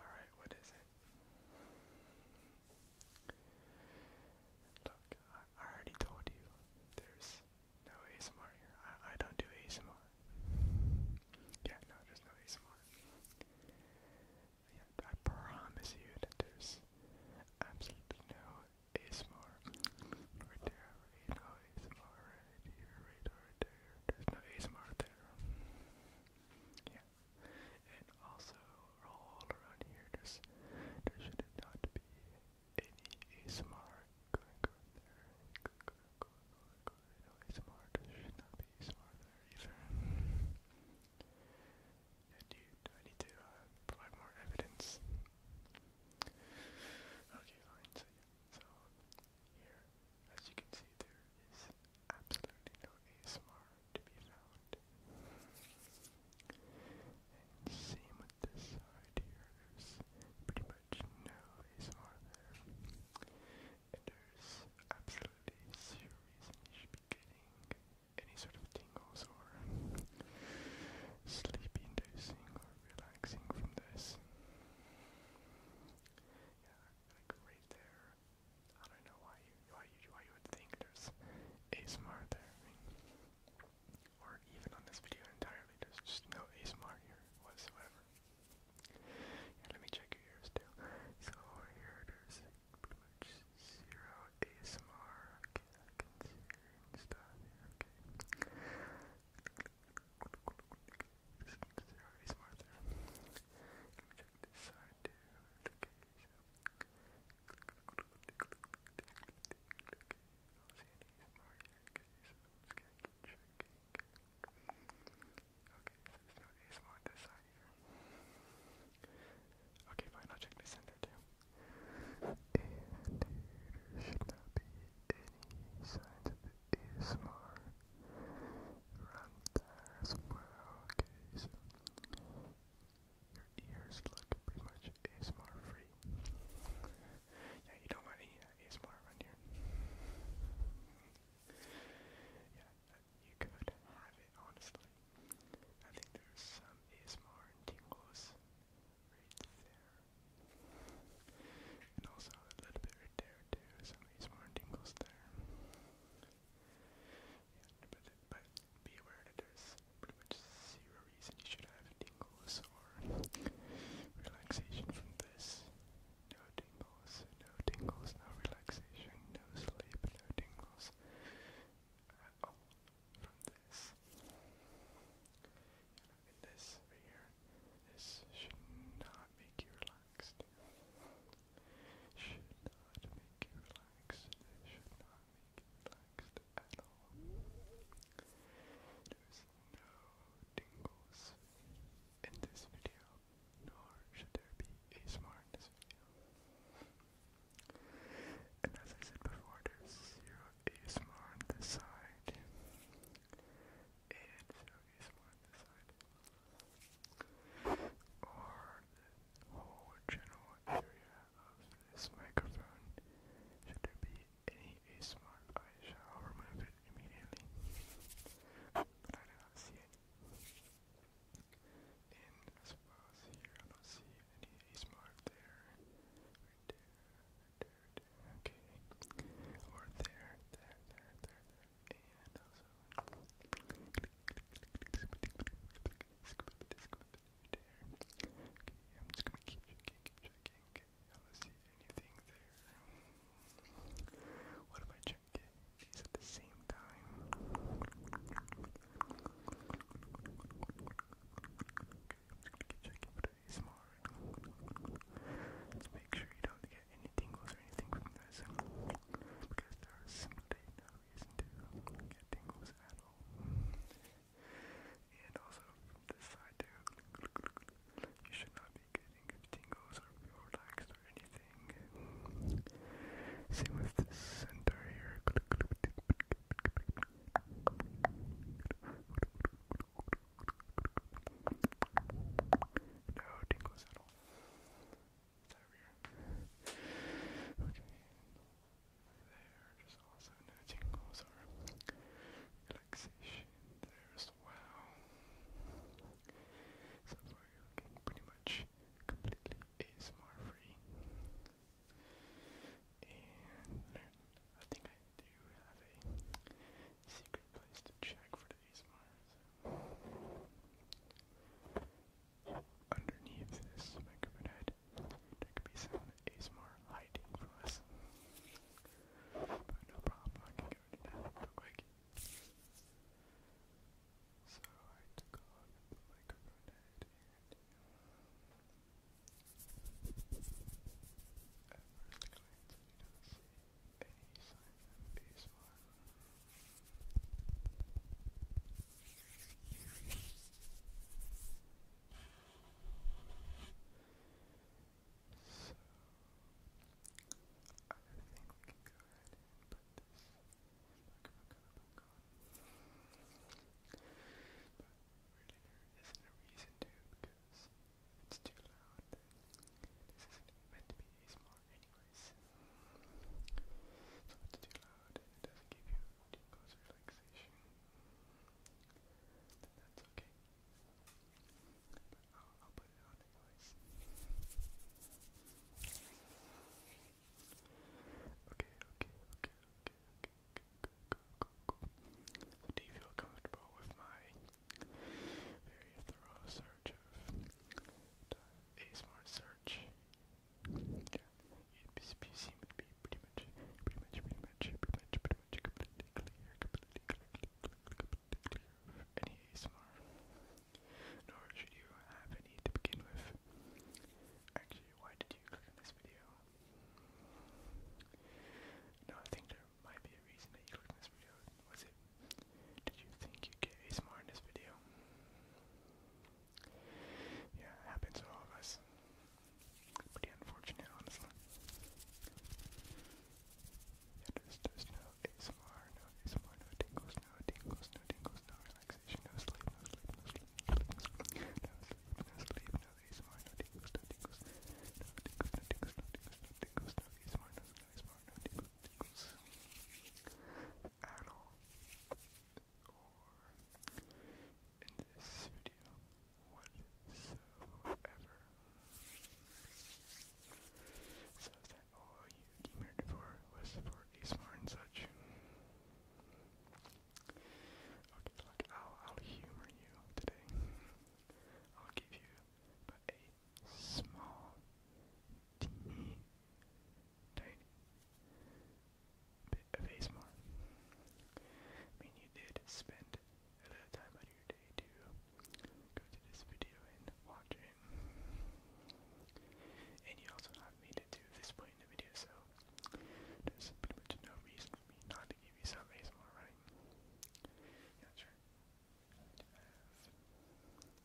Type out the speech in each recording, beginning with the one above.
Alright, what is it? Look, I, already told you there's no ASMR here. I, I don't do ASMR. Yeah, no, there's no ASMR. Yeah, I promise you there's absolutely no ASMR. Right there, you know, ASMR right here, right over there. There's no ASMR there. Yeah. And also, all around here, there's, there should not be any ASMR going on there. Going, going, going, going, going. No ASMR, there should not be ASMR there either. And I need to uh, provide more evidence? Okay, fine, so here, as you can see, there is absolutely no ASMR to be found. And same with this side here, there's pretty much no ASMR there. And there's absolutely zero reason you should be getting any sort of tingles or sleep inducing or relaxing from this. Yeah, like right there. I don't know why you why you why you would think there's ASMR there. or even on this video entirely, there's just no ASMR here whatsoever. let me check your ears too. So here, there's pretty much zero ASMR. Okay, I can see stuff here. Okay. This is already smarter. Let me check this side too. Okay, so. I'll see any more yet because these ones get tricky. Okay, so there's no ASMR on this side here. Okay, fine, I'll check the center too. And there should not be any signs of ASMR around there as well, okay, so your ears look pretty much ASMR free. Yeah, you don't want any ASMR around here. Yeah, you could have it, honestly. I think there's some ASMR tingles there. And also a little bit right there too, some more dingles there. but, be aware that there's pretty much zero reason you should have dingles or relaxation from this. No tingles, no tingles, no relaxation, no sleep, no tingles. Uh, oh, from this. And this right here, this should not make you relaxed. Should not make you relaxed. should not make you relaxed at all. There's no tingles in this video, nor should there be ASMR in video. And as I said before, there's zero ASMR on on this side. Or the whole general area of this microphone. Should there be any ASMR, I shall remove it immediately. I do not see it in, I suppose, here. I don't see any ace mark there. Right there, there, there. Okay. Or there, there, there, there, And also. There. Okay, I'm just gonna keep checking, keep checking. Okay, I don't see anything there. What if I check it? the same time? check Let's make sure you don't get any tingles or anything from this. Because there is no reason to get tingles at all. And also from this side too, you should not be getting tingles or feel or anything everything. Same with the center here. No tingles at all. Okay. There, also no tingles or relaxation there as well pretty much completely ASMR free. And I think I do have a secret place to check for the ASMR. So. Underneath this microphone head, there could be some ASMR hiding from us. But no problem, I can go to that real quick. So I took on the microphone and at first glance you don't see any sign of ASMR. So I think we can go ahead and put this isn't a reason to because it's too loud this isn't meant to be ASMR anyways. So it's too loud and it doesn't give you too close relaxation. Then that's okay put Okay, okay, okay, okay, okay, go, go, go, do you feel comfortable with my very thorough search of a smart search? Yeah. You seem to be pretty much, pretty much, pretty much, pretty much, pretty much completely clear, completely clear, completely clear, particular of any nor should you have any to begin with. Actually, why did you click on this video? No, I think there might be a reason that you clicked on this video. Was it? Did you think you'd get ASMR in this video? Yeah, happens to all of us. Pretty unfortunate, honestly. It is just no ASMR, no ASMR, no tingles, no tingles, no tingles, no relaxation, no sleep, no sleep, no sleep, no sleep, no sleep, no sleep, no ASMR, no tingles, no tingles, no tingles, no tingles, no tingles, no tingles, no ASMR, no ASMR, no tingles, tingles at all. Or in this video, whatsoever. So that all you demurred for was for Ace Mar and such. Okay, look, I'll, I'll humor you today. I'll give you a small, teeny, tiny bit of I mean, you did spend a little time out your day to go to this video and watch it. And you also have made it to this point in the video, so there's pretty much no reason for me not to give you some ASMR, right? Yeah, sure.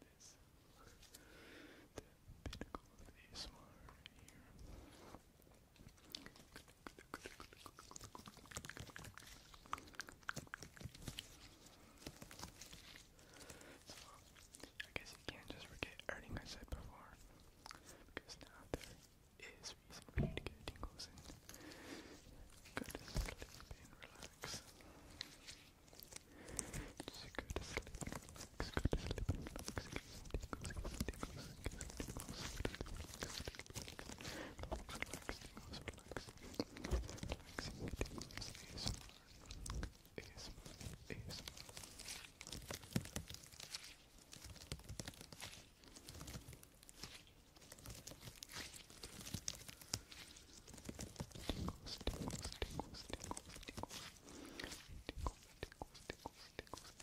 this, the ASMR here. I guess you can't just forget everything I said before, because now there is reason for you to get tingles and go to sleep and relax. Just to sleep, relax, go to sleep, relax, get some tingles, get relax, relaxing, most relaxing, relaxing videos, ASMR, ASMR, ASMR. Tingles, tingles, tingles, tingles, tingles, tingles, tingles, tingles, tingles, tingles,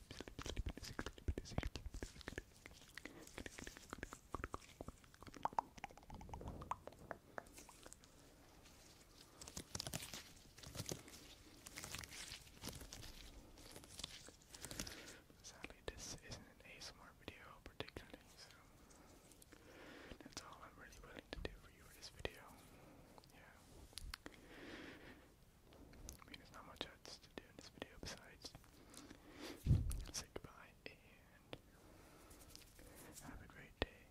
Sadly, this isn't an ASMR video particularly, so that's all I'm really willing to do for you in this video. Yeah. I mean, there's not much else to do in this video besides say goodbye and have a great day.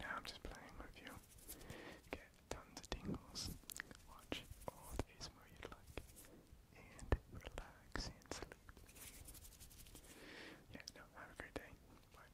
Now I'm just playing with you. Get tons of tingles. Watch all the ASMR you'd like. And relax and sleep. Yeah, no, have a great day. Bye.